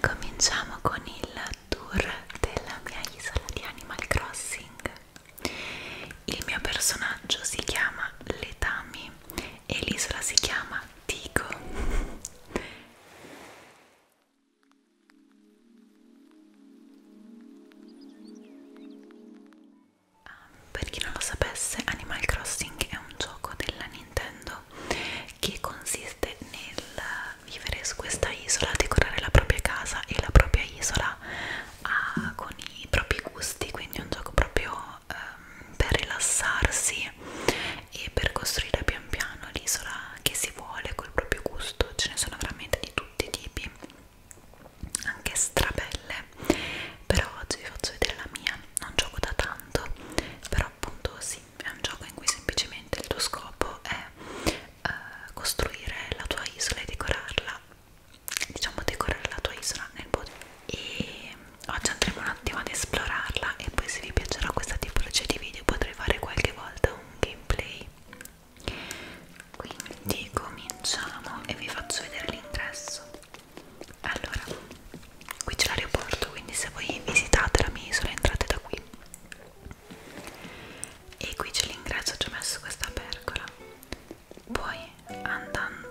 Cominciamo con il tour della mia isola di Animal Crossing. Il mio personaggio si chiama Letami e l'isola si chiama Tico. Ah, per chi non lo sapesse, Animal Crossing è un gioco della Nintendo attività che consiste nel vivere su questa isola, decorare la propria casa e la propria isola ah, con i propri gusti, quindi è un gioco proprio um, per rilassarsi e per costruire pian piano l'isola che si vuole col proprio gusto, ce ne sono veramente di tutti i tipi, anche strabelle, però oggi vi faccio vedere la mia, non gioco da tanto, però appunto sì, è un gioco in cui semplicemente il tuo scopo è eh, costruire la tua isola e decorarla diciamo decorare la tua isola nel body e oggi andremo un attimo ad esplorarla e poi se vi piacerà questa tipologia di video potrei fare qualche volta un gameplay quindi cominciamo e vi faccio vedere l'ingresso allora qui c'è l'aeroporto quindi se voi visitate la mia isola entrate da qui e qui c'è l'ingresso ci ho messo questa pergola poi andando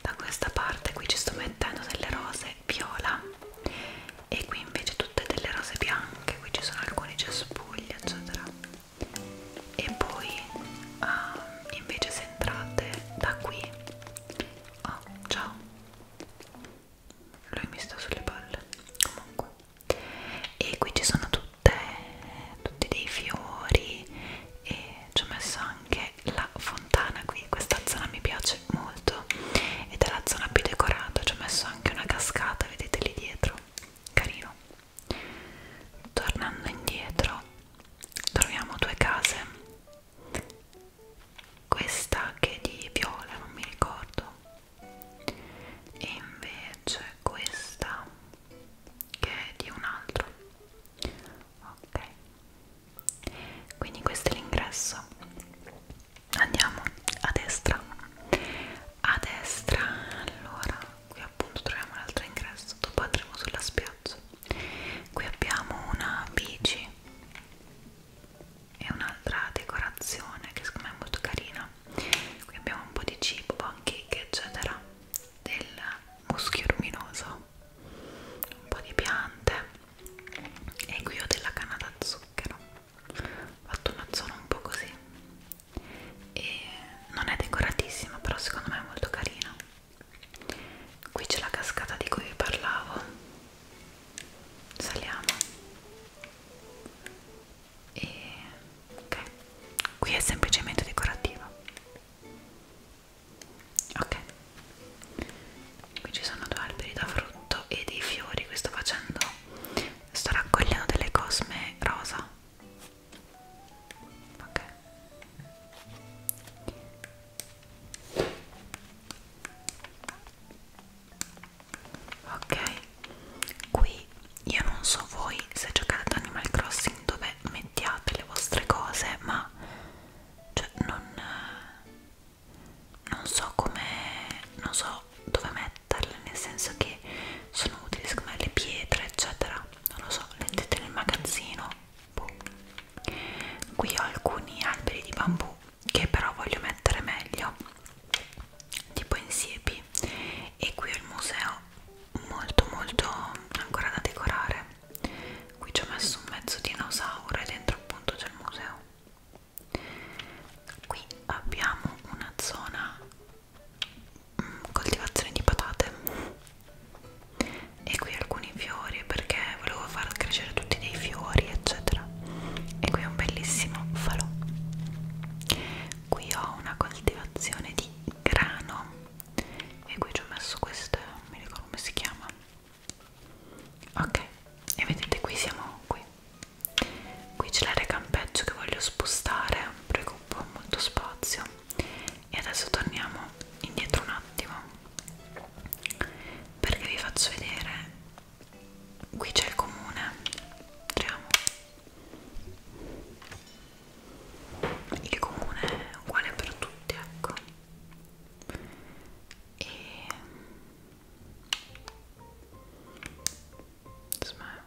da questa parte qui ci sto mettendo delle rose viola e qui invece tutte delle rose bianche qui ci sono alcuni cespugli eccetera e poi uh, invece se entrate da qui oh ciao lui mi sta sulle palle comunque e qui ci sono tutte tutti dei fiori e ci ho messo anche la fontana qui questa zona mi piace molto ed è la zona più decorata ci ho messo anche una cascata vedete lì dietro carino tornando indietro troviamo due case questa anche di viola non mi ricordo e invece questa che è di un altro ok quindi questo è l'ingresso andiamo a destra a destra allora qui appunto troviamo l'altro ingresso dopo andremo sulla spiaggia qui abbiamo una bici è un'altra decorazione che secondo me è molto carina qui abbiamo un po' di cibo, pancake eccetera del muschio luminoso un po' di piante e qui ho della canna da zucchero ho fatto una zona un po' così e non è decoratissima però secondo me è molto carina qui c'è la cascata di cui vi parlavo saliamo e ok qui è semplicemente decorativo ok qui ci sono due alberi da frutto e dei fiori qui sto facendo sto raccogliendo delle cosme rosa ok ok qui io non so voi se giocate ad Animal Crossing dove mettiate le vostre cose ma cioè non non so come non so dove metterle nel senso che sono utili secondo me le pietre eccetera non lo so le mettete nel magazzino boh. qui ho alcuni alberi di bambù che però voglio mettere meglio tipo insiepi e qui ho il museo molto molto ancora da decorare qui ci ho messo un mezzo dinosauro e dentro appunto c'è il museo qui abbiamo una zona mm, coltivazione di patate e qui alcune alcuni fiori perché volevo far crescere tutti dei fiori eccetera e qui è un bellissimo falò qui ho una coltivazione di grano e qui ci ho messo queste eh, non mi ricordo come si chiama ok e vedete qui siamo qui qui c'è l'area campeggio che voglio spostare perché occupa molto spazio e adesso torniamo indietro un attimo perché vi faccio vedere qui c'è il comune entriamo il comune è uguale per tutti ecco e Smile.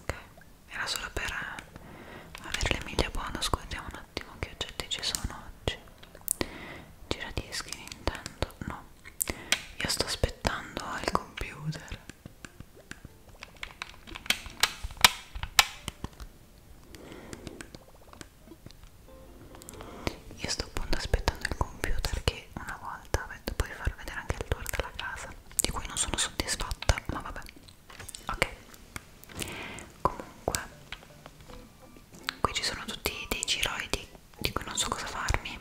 ok era solo per eh, avere le miglia buone scusiamo un attimo che oggetti ci sono oggi giradischi Nintendo no io sto aspettando al computer io sto appunto aspettando il computer che una volta beh, puoi far vedere anche il tour della casa di cui non sono soddisfatta ma vabbè ok comunque qui ci sono tutti dei giroidi di cui non so cosa farmi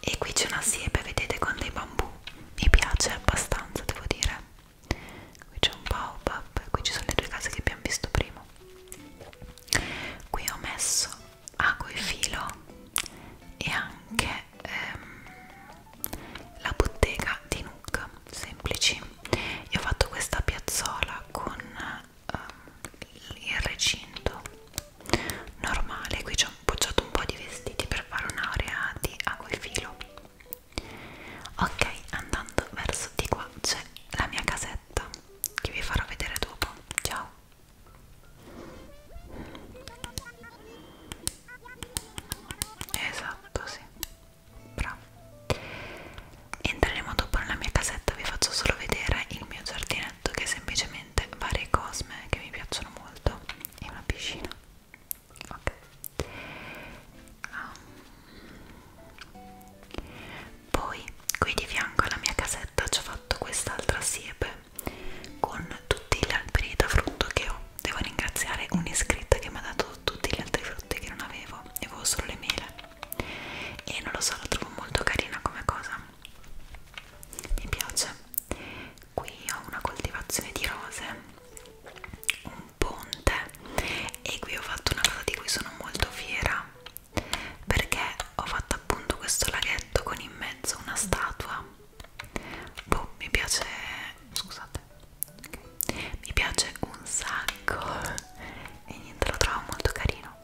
e qui c'è una siepe vedete con dei bambù mi piace abbastanza devo dire qui c'è un baobab qui ci sono le due case che abbiamo visto prima qui ho messo ago e filo e anche è ehm, la bottega di Nook semplici io ho fatto questa piazzola con ehm, il recinto normale qui ci ho appoggiato un po' di vestiti per fare un'area di acquifilo ok andando verso di qua c'è la mia casetta che vi farò vedere dopo ciao Esatto, sì. Bravo. Entreremo dopo nella mia casetta, vi faccio solo vedere il mio giardinetto che è semplicemente varie cosme che mi piacciono molto e una piscina. Ok. Um. Poi qui di fianco alla mia casetta ci ho fatto quest'altra siepe con tutti gli alberi da frutto che ho devo ringraziare un'iscritta che mi ha dato tutti gli altri frutti che non avevo, avevo solo le mele e non lo so, la trovo molto carina come cosa mi piace qui ho una coltivazione di rose un ponte e qui ho fatto una cosa di cui sono molto fiera perché ho fatto appunto questo laghetto con in mezzo una statua boh, mi piace scusate okay. mi piace un sacco e niente lo trovo molto carino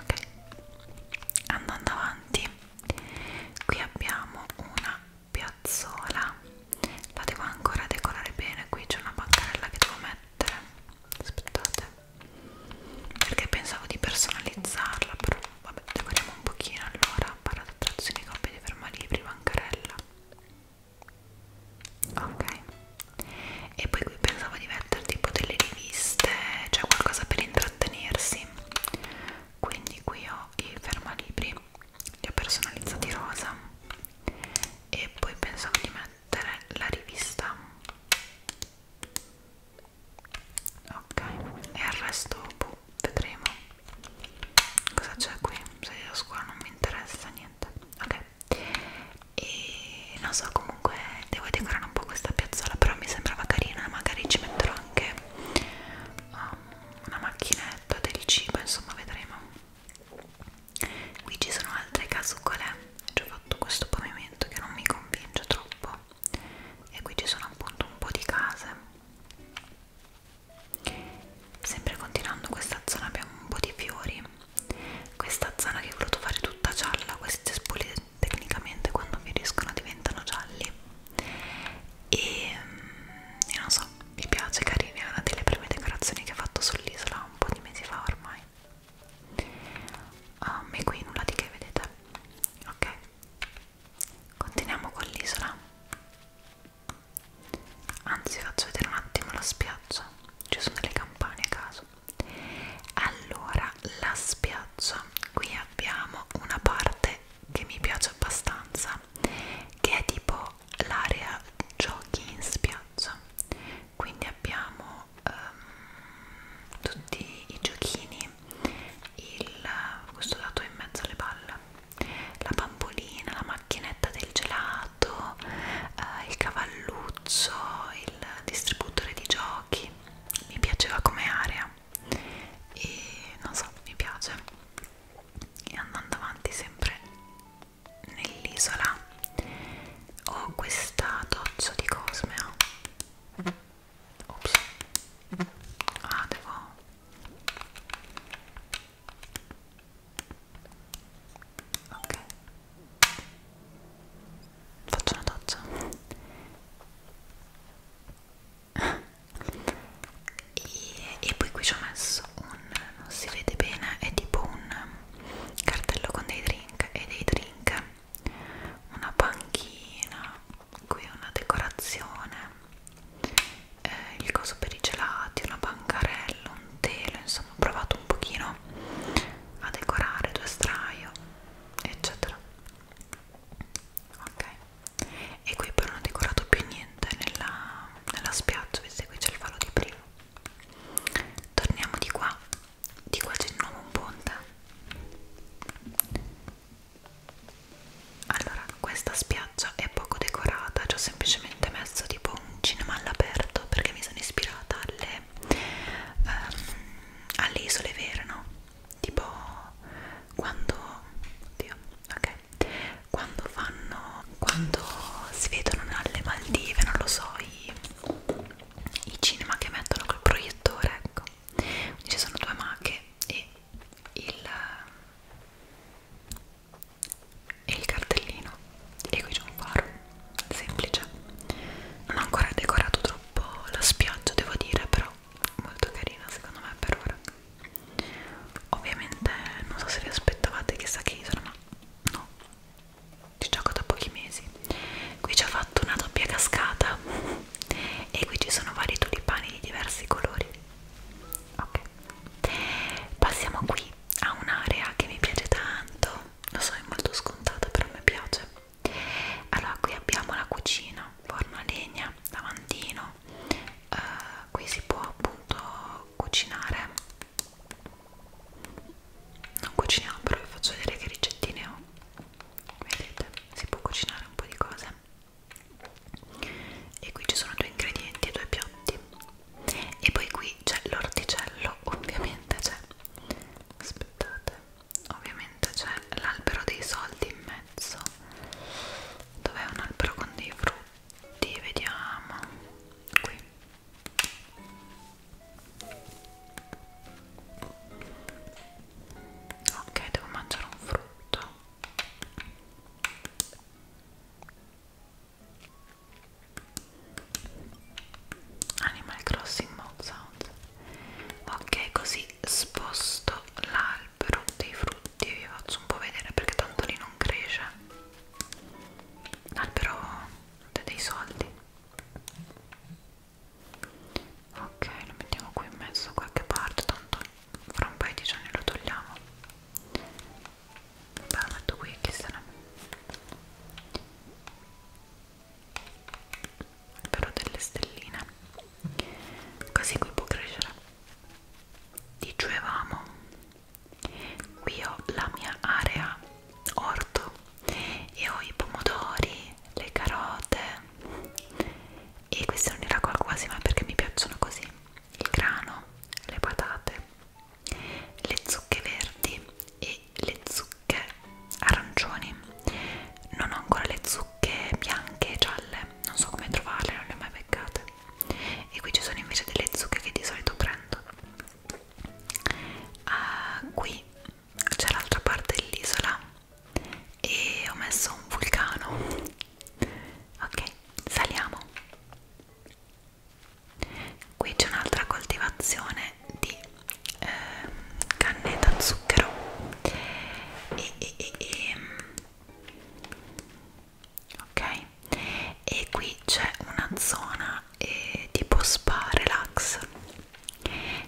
ok andando avanti qui abbiamo una piazzola la devo ancora decorare bene qui c'è una bancarella che devo mettere aspettate perché pensavo di personalizzarla però vabbè decoriamo un pochino allora stampa l'adattazione coppia di fermalibri bancarella ok e poi qui pensavo di mettere tipo delle riviste cioè qualcosa per intrattenersi quindi qui ho i fermalibri li ho personalizzati rosa e poi pensavo di mettere la rivista ok e il resto boh, vedremo cosa c'è qui? se la scuola non mi interessa niente ok e non so comunque devo decorare un po' questa piazzola però mi sembrava carina magari ci metterò anche um, una macchinetta del cibo insomma vedremo qui ci sono altre casucole ci ho fatto questo pavimento che non mi convince troppo e qui ci sono appunto un po' di case sempre continuando questa zona abbiamo un po' di fiori questa zona che ho voluto fare tutta gialla questi cespugli tecnicamente quando fioriscono diventano gialli e, e mm, non so mi piace carini è una delle prime decorazioni che ho fatto sull'isola un po' di mesi fa ormai um, ah, e qui nulla di che vedete ok continuiamo con l'isola anzi faccio vedere un attimo la spiaggia ci sono delle campane a caso allora la spiaggia qui abbiamo una parte che mi piace abbastanza che è tipo l'area giochi in spiaggia quindi abbiamo um, tutti i giochini il, questo dato in mezzo alle palle la bambolina, la macchinetta del gelato, eh, il cavalluzzo, il distributore di giochi, mi piaceva come area e non so, mi piace e andando avanti sempre nell'isola ho questa doccia di Cosmea Ops. Ah, devo ok faccio una doccia e, e poi qui ci ho messo un non si vede bene è tipo un cartello con dei drink e dei drink una panchina qui una decorazione eh, il coso per i gelati, una bancarella, un telo, insomma ho provato un pochino a decorare, due straio, eccetera. Ok, e qui però non ho decorato più niente nella, nella spiaggia, vedete qui c'è il falò di prima. Torniamo di qua, di qua c'è il nuovo ponte allora questa spiaggia è poco decorata ci ho semplicemente messo tipo un cinema all'aperto perché mi sono ispirata alle, um, alle isole vere no? tipo quando oddio, ok quando fanno quando si vedono alle Maldive non lo so i, i cinema che mettono col proiettore ecco Quindi ci sono due mache e il e il cartellino e qui c'è un faro semplice non ho ancora decorato troppo la spiaggia devo dire però molto carina secondo me per ora ovviamente non so se vi aspettavate chissà che isola ma no ci gioco da pochi mesi qui ci ho fatto una doppia cascata e qui ci sono vari tulipani di diversi colori ok Passiamo qui a un'area che mi piace tanto, lo so è molto scontata però mi piace. Allora qui abbiamo la cucina, forno a legna, lavandino, uh, qui si può appunto cucinare. Non cuciniamo però vi faccio vedere che ricettine ho. Vedete, si può cucinare un po' di cose e qui ci sono due ingredienti e due piatti e poi qui c'è l'orticello ovviamente c'è aspettate ovviamente c'è l'albero dei soldi in mezzo dov'è un albero con dei frutti vediamo qui ok devo mangiare un frutto Animal Crossing Mode Sound ok così sposto l'albero dei frutti vi faccio un po' vedere perché tanto lì non cresce l'albero dei soldi ok lo mettiamo qui in mezzo da qualche parte tanto fra un paio di giorni lo togliamo Beh, lo metto qui, chi se ne però delle stelline così qui può crescere dicevamo qui ho la mia area orto e ho i pomodori le carote e questi non li raccolgo quasi ma perché mi piacciono così il grano, le patate, le zucche verdi e le zucche arancioni. Non ho ancora le zucche bianche e gialle, non so come trovarle, non le ho mai beccate. E qui ci sono invece delle zucche che di solito prendo. Uh, qui c'è l'altra parte dell'isola e ho messo un vulcano ok saliamo qui c'è un'altra coltivazione di eh, canne da zucchero e, e, e, e. ok e qui c'è una zona eh, tipo spa relax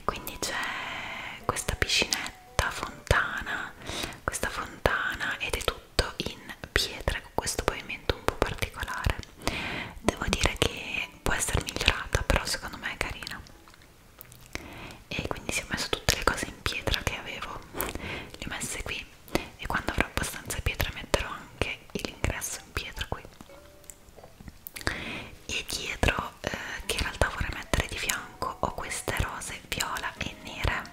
quindi c'è questa piscinetta lunetta fontana questa fontana ed è tutto in pietra con questo pavimento un po' particolare devo dire che può essere migliorata però secondo me è carina e quindi si ho messo tutte le cose in pietra che avevo le ho messe qui e quando avrò abbastanza pietra metterò anche l'ingresso in pietra qui e dietro eh, che in realtà vorrei mettere di fianco ho queste rose viola e nere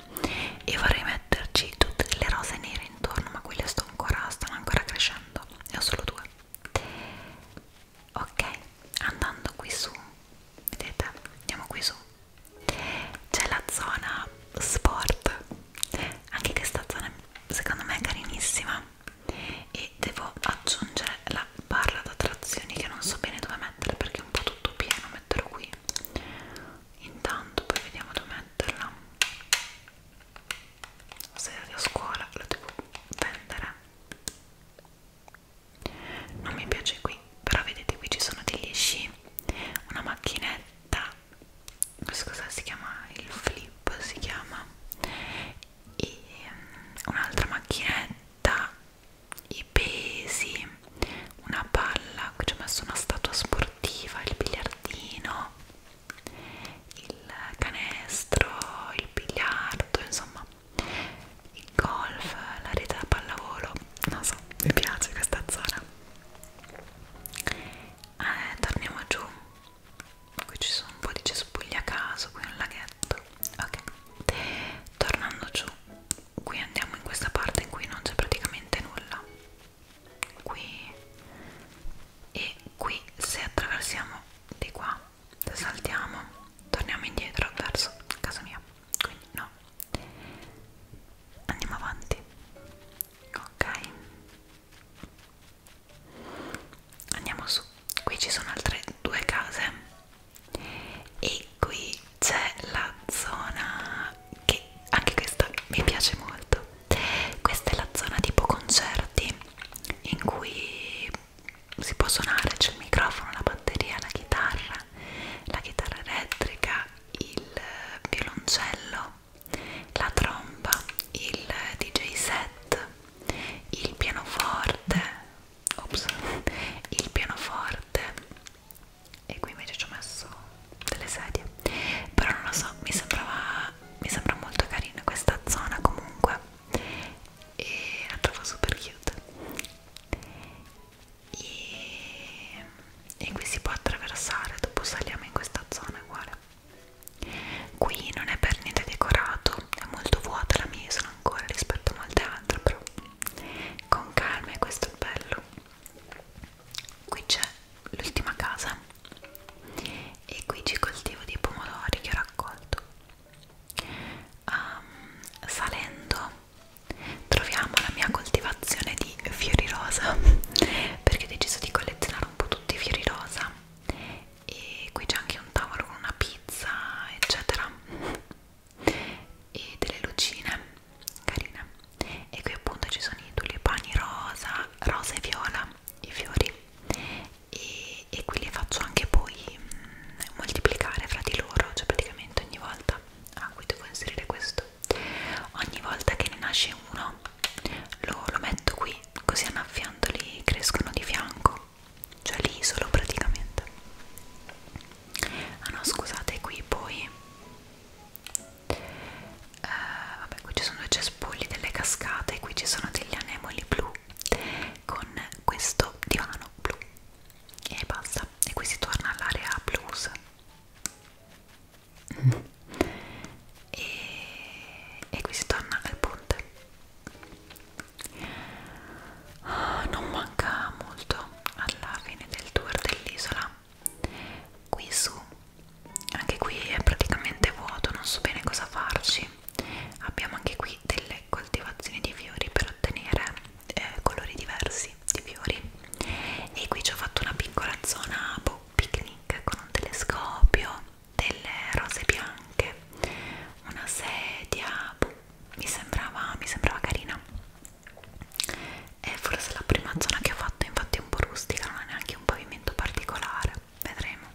e vorrei metterci tutte le rose nere intorno ma quelle sto ancora, stanno ancora crescendo ne ho solo due ok andando qui su vedete andiamo qui su c'è la zona sport anche questa zona secondo me è carinissima e devo aggiungere la barra da trazioni che non so bene dove mettere perché è un po' tutto pieno metterlo qui intanto poi vediamo dove metterla se eri a scuola la devo vendere non mi piace qui però vedete qui ci sono degli sci una macchinetta scusa si chiama il flip si chiama e mm, un'altra macchinetta i pesi, una palla, ci ho messo una statua sportiva, il biliardino, il canestro, il biliardo, insomma il golf, la rete da pallavolo, non so, mi piace questa zona. Eh, torniamo giù, qui ci sono un po' di cespugli a caso, qui un laghetto, ok, tornando giù qui andiamo in questa parte in cui non c'è praticamente nulla qui e qui se attraversiamo di qua se saltiamo torniamo indietro verso casa mia quindi no andiamo avanti ok andiamo su qui ci sono altre due case e qui c'è la zona che anche questa mi piace molto questa è la zona tipo concerti in cui si può suonare c'è il microfono, la batteria, la chitarra la chitarra elettrica il violoncello la tromba il dj set il pianoforte ops, il pianoforte e qui invece ci ho messo delle sedie però non lo so mi sembrava mi sembra molto carina questa zona comunque e la trovo super cute e, e qui si può attraversare dopo saliamo in questa zona uguale qui non è per niente decorato è molto vuota la mia sono ancora rispetto a molte altre però con calma e questo è bello qui c'è l'ultima casa e qui ci coltivo dei pomodori che ho raccolto um, salendo troviamo la mia coltivazione di fiori rosa perché ho deciso di collezionare un po' tutti i fiori rosa e qui c'è anche un tavolo con una pizza eccetera e delle lucine carine e qui appunto ci sono i tulipani rosa, rosa e viola i fiori e, e qui li faccio anche poi mh, mm, moltiplicare fra di loro cioè praticamente ogni volta ah qui devo inserire questo ogni volta che ne nasce uno lo, lo metto qui così annaffiandoli crescono di fianco cioè lì solo praticamente ah no scusate qui poi eh, vabbè qui ci sono i cespugli delle cascate qui ci sono degli anemoli blu con questo divano blu e basta e qui si torna all'area blues e, e qui si torna al ponte Ah, non manca molto alla fine del tour dell'isola qui su anche qui è praticamente vuoto non so bene cosa farci abbiamo anche qui delle coltivazioni di fiori per ottenere eh, colori diversi di fiori e qui ci ho fatto una piccola zona boh, picnic con un telescopio delle rose bianche una sedia boh, mi sembrava, mi sembrava carina è forse la prima zona che ho fatto infatti è un po' rustica non ha neanche un pavimento particolare vedremo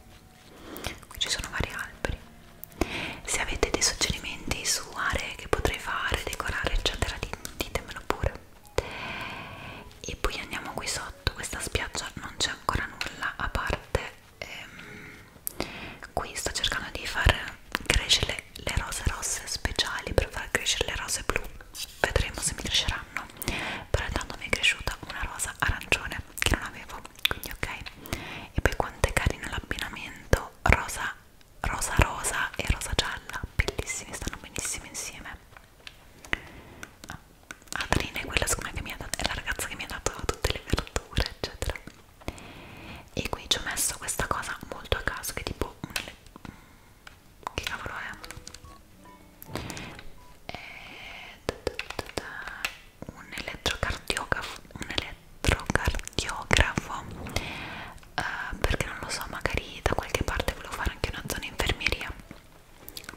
qui ci sono vari alberi se avete dei suggerimenti su aree che potrei fare decorare eccetera ditemelo pure e poi andiamo qui sotto questa spiaggia non c'è ancora nulla a parte ehm, qui sto cercando di far cresce le, le rose rosse speciali per far crescere le rose blu vedremo se mi cresceranno però intanto mi è cresciuta una rosa arancione che non avevo quindi ok e poi quanto è carino l'abbinamento rosa rosa rosa e rosa gialla bellissimi stanno benissimo insieme ah, Adrina è quella che mi ha dato, è la ragazza che mi ha dato tutte le verdure eccetera e qui ci ho messo questa cosa molto a caso che tipo mm, che cavolo è? è eh, un elettrocardiografo un elettrocardiografo uh, eh, perché non lo so magari da qualche parte volevo fare anche una zona infermieria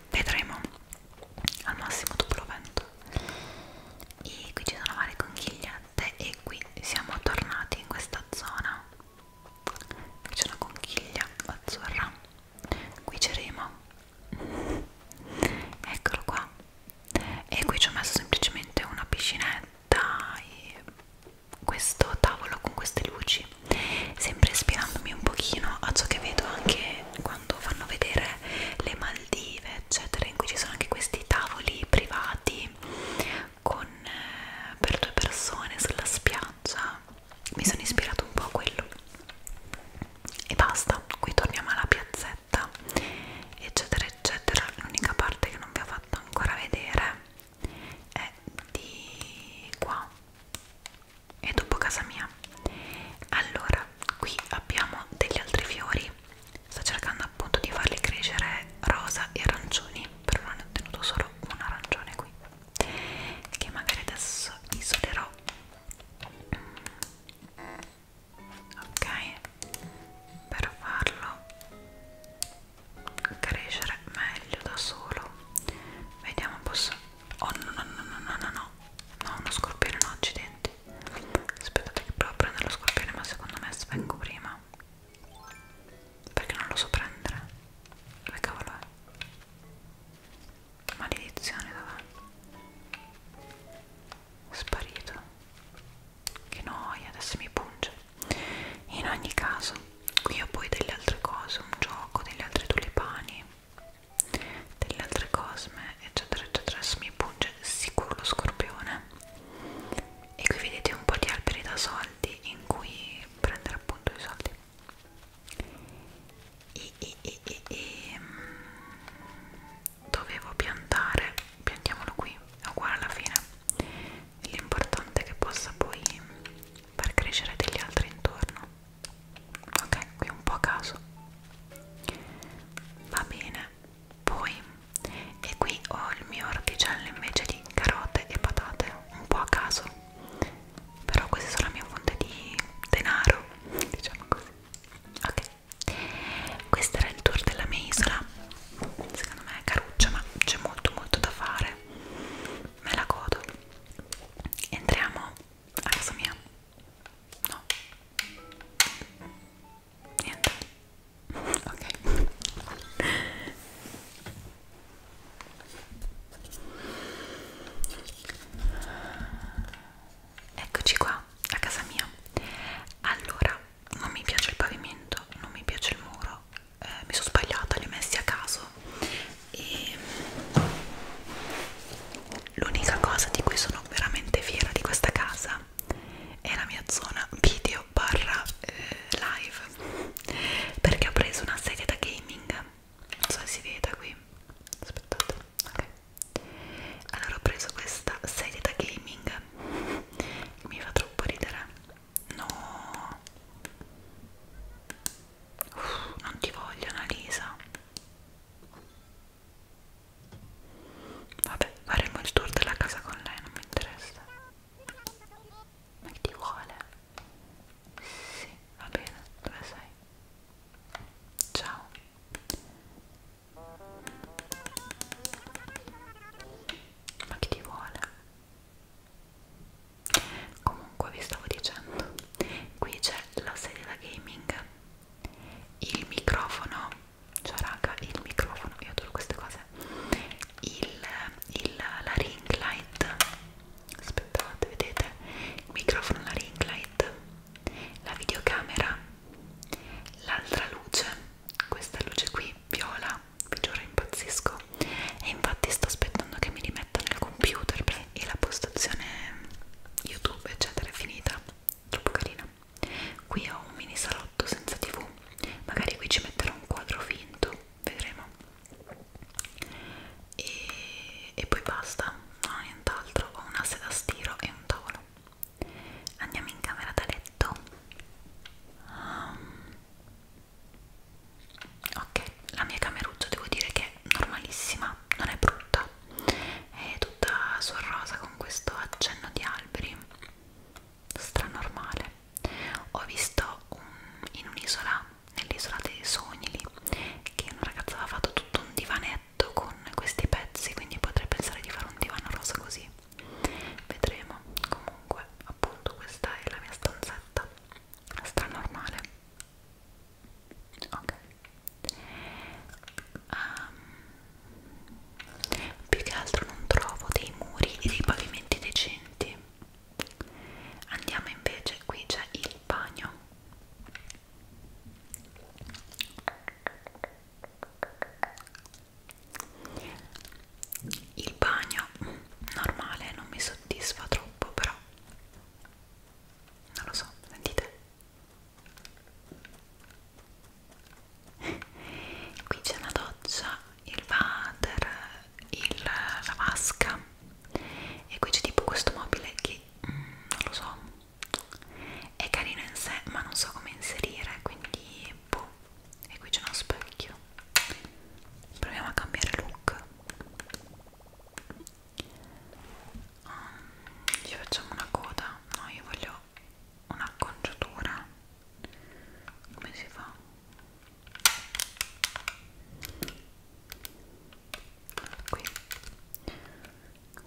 vedremo al massimo dopo lo vento e qui ci sono varie conchiglie niente e qui siamo tornati in questa zona qui c'è una conchiglia azzurra qui c'è Remo eccolo qua e qui ci ho messo semplicemente una piscinetta e questo tavolo con queste luci sempre ispirandomi un pochino a ciò che vedo anche quando fanno vedere le Maldive eccetera in cui ci sono anche questi tavoli privati con, eh, per due persone sulla spiaggia mi sono ispirato un po' a quello e basta, qui torniamo alla piazzetta eccetera eccetera l'unica parte che non vi ho fatto ancora vedere è di qua e dopo casa mia allora qui abbiamo degli altri fiori sto cercando appunto di farli crescere rosa e arancioni però non ne ho ottenuto solo un arancione qui che magari adesso isolerò ok per farlo crescere meglio da solo vediamo posso oh no no no no no no no no uno scorpione no accidenti aspettate che provo a prendere lo scorpione ma secondo me svengo prima perché non lo so prendere? Dove cavolo è? Maledizione dov'è? Sparito. Che noia, adesso mi punge. In ogni caso, qui ho poi delle altre cose, un gioco, degli altri tulipani, delle altre cosme, eccetera, eccetera. Adesso mi punge sicuro lo scorpione e qui vedete un po' di alberi da soldi in cui prendere appunto i soldi e, e, e, e, e mm, dovevo piantare piantiamolo qui è uguale alla fine l'importante è che possa poi far crescere degli altri intorno ok qui un po' a caso va bene poi e qui ho il mio orticello invece di carote e patate un po' a caso però questa è solo la mia fonte di denaro diciamo così ok questo era il tour della mia isola secondo me è caruccia ma c'è molto molto da fare me la godo entriamo a casa mia no niente ok eccoci qua a casa mia allora non mi piace il pavimento non mi piace il muro eh, mi sono sbagliata li ho messi a caso e l'unica cosa di cui sono veramente fiera di questa casa è la mia zona video video barra eh, live perché ho preso una sedia da gaming non so se si vede qui aspettate ok allora ho preso questa sedia da gaming mi fa troppo ridere no Uff, non ti voglio Annalisa vabbè faremo il tour della casa con lei non mi interessa ma che ti vuole? Sì, va bene, dove sei? Ciao. Ma che ti vuole? Comunque vi stavo dicendo, qui c'è la sedia da gaming, il microfono cioè raga il microfono io adoro queste cose il, il, la ring light aspettate vedete il microfono la ring light la videocamera l'altra luce questa luce qui viola vi giuro impazzisco e infatti sto aspettando che mi rimettano il computer e la postazione youtube eccetera è finita troppo carina qui ho un mini salotto senza tv magari qui ci metterò un quadro finto vedremo e, e poi basta non ho nient'altro ho un'asse da stiro e un tavolo andiamo in camera da letto um, ok la mia cameruzza devo dire che è normalissima non è brutta è tutta sul rosa con questo accenno di alberi stranormale ho visto un, in un'isola, nell'isola dei sogni lì, che una ragazza aveva fatto tutto un divanetto con questi pezzi, quindi potrei pensare di fare un divano rosa così. Vedremo. Comunque, appunto, questa è la mia stanzetta stranormale. Ok. Um, più che altro non trovo dei muri e dei pavimenti decenti andiamo invece qui c'è il bagno il bagno normale non mi soddisfa troppo però non lo so, sentite qui c'è una doccia, il water, il, la vasca e qui c'è tipo questo mobile che mm, non lo so è carino in sé ma non so come inserire quindi boh e qui c'è uno specchio proviamo a cambiare look um, ci facciamo una coda no io voglio un'acconciatura come si fa? qui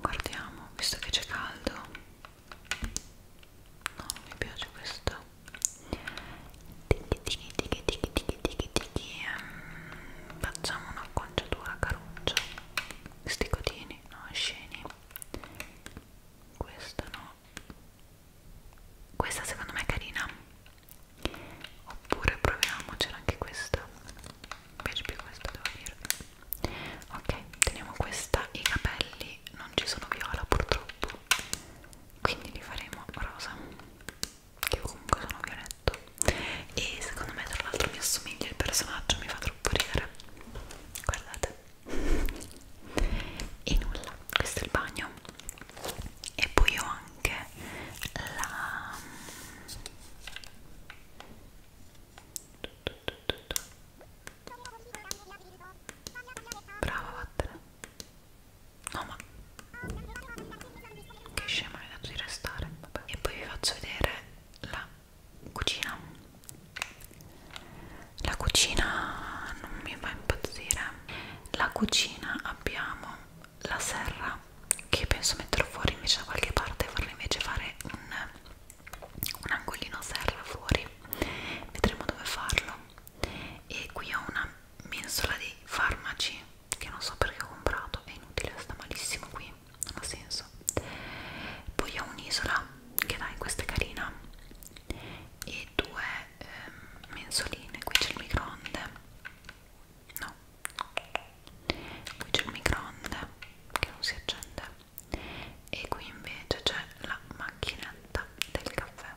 guardiamo visto che c'è caldo no non mi piace questo tiki tiki tiki tiki tiki tiki tiki ehm, facciamo un'acconciatura caruccia sti codini no sceni questo no questa secondo me è carina oppure proviamocela anche questa mi piace più questa devo dire ok teniamo questa i capelli non ci sono viola purtroppo quindi li faremo rosa che comunque sono violetto e secondo me tra l'altro mi assomiglia il personaggio mi fa troppo ridere guardate e nulla, questo è il bagno e poi ho anche la brava vattene no ma che scema mi hai dato di restare Vabbè. e poi vi faccio vedere la cucina la cucina non mi fa impazzire la cucina abbiamo la serra che penso metterò fuori invece da qualche parte e farla invece fare un, un angolino serra fuori vedremo dove farlo e qui ho una mensola di farmaci che non so perché ho comprato è inutile, sta malissimo qui non ha senso poi ho un'isola che dai questa è carina e due eh, mensoline qui c'è il microonde no qui c'è il microonde che non si accende e qui invece c'è la macchinetta del caffè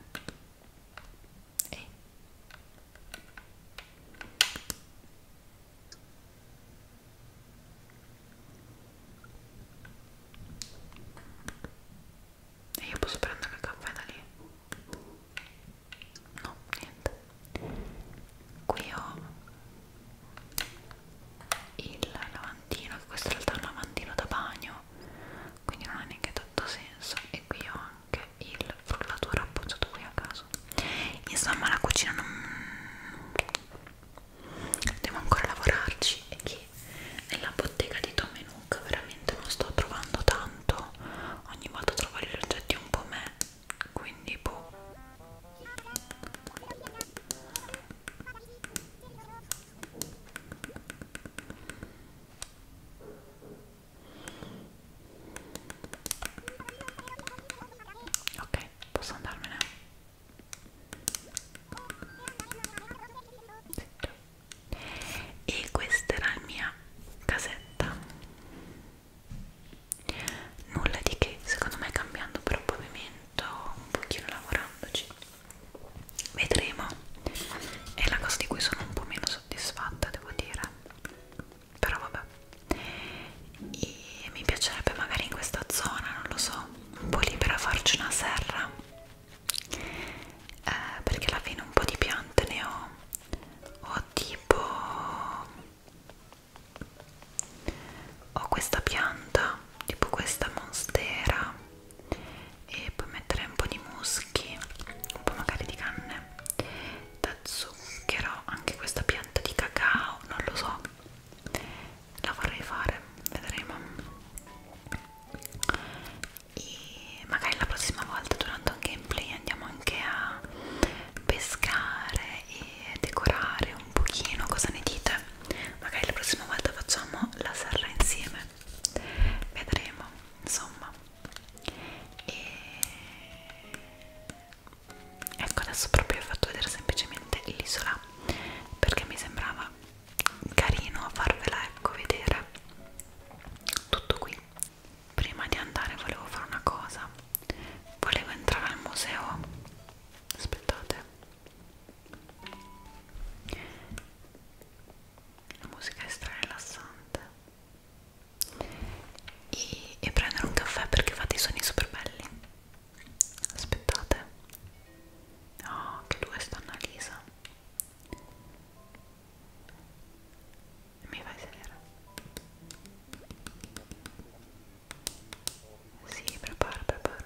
e e io posso prendere il caffè da lì? No, niente. Qui ho il lavandino, che questo in realtà è un lavandino da bagno, quindi non ha neanche tanto senso. E qui ho anche il frullatore appoggiato qui a caso. Insomma, la cucina non... Devo ancora lavorarci e che nella bottega di Tom Nook veramente non sto trovando tanto ogni volta trovo gli oggetti un po' me quindi boh ok posso andarmene e questa era la mia casetta nulla di che secondo me cambiando però pavimento un pochino lavorandoci vedremo è la cosa di cui sono un po' meno soddisfatta devo dire però vabbè e mi piacerebbe magari in questa zona non lo so un po' libera farci una serra eh, perché alla fine un po' di piante ne ho ho tipo ho questa pianta tipo questa monstera e poi mettere un po' di muschi un po' magari di canne da zucchero anche questa pianta di cacao non lo so la vorrei fare, vedremo e magari la prossima volta durante un gameplay andiamo anche a pescare e decorare un pochino, cosa ne dite? magari la prossima volta facciamo la serra insieme vedremo, insomma e ecco adesso proprio ho fatto vedere semplicemente l'isola perché mi sembrava carino farvela ecco vedere tutto qui prima di andare volevo fare una cosa volevo entrare al museo aspettate la musica è stra rilassante e, e prendere un caffè perché fate i suoni super belli aspettate oh che due sta Annalisa Me Mi a sedere? Sí, prepara, prepara.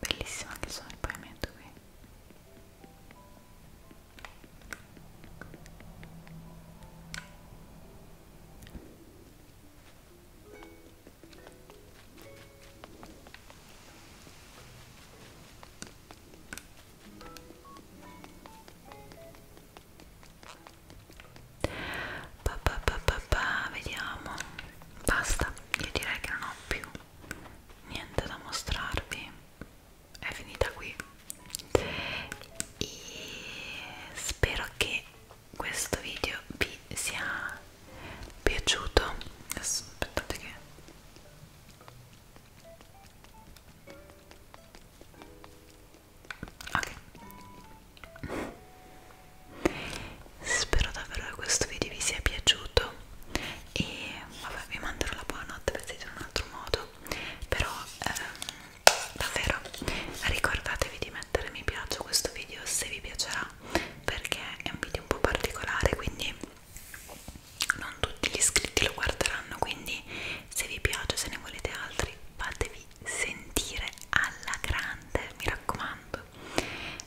bellissimo anche solo il pavimento qui pa, pa, pa, pa, pa, vediamo basta io direi che non ho più niente da mostrarvi è finita qui e spero che questo video vi sia piaciuto adesso aspettate che ok spero davvero che questo video vi sia piaciuto e vabbè vi manderò la buonanotte per in un altro modo però ehm, davvero ricordatevi di mettere mi piace a questo video se vi piacerà perché è un video un po' particolare quindi non tutti gli iscritti lo guarderanno quindi se vi piace se ne volete altri fatevi sentire alla grande mi raccomando YouTube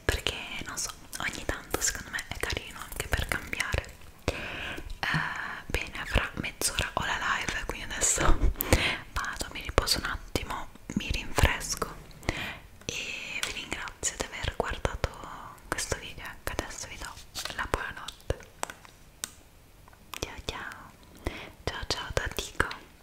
perché non so, ogni tanto secondo me è carino anche per cambiare eh, bene, fra mezz'ora ho la live quindi adesso vado, mi riposo un attimo mi rinfresco e vi ringrazio di aver guardato questo video ecco adesso vi do la buonanotte ciao ciao ciao ciao da Dico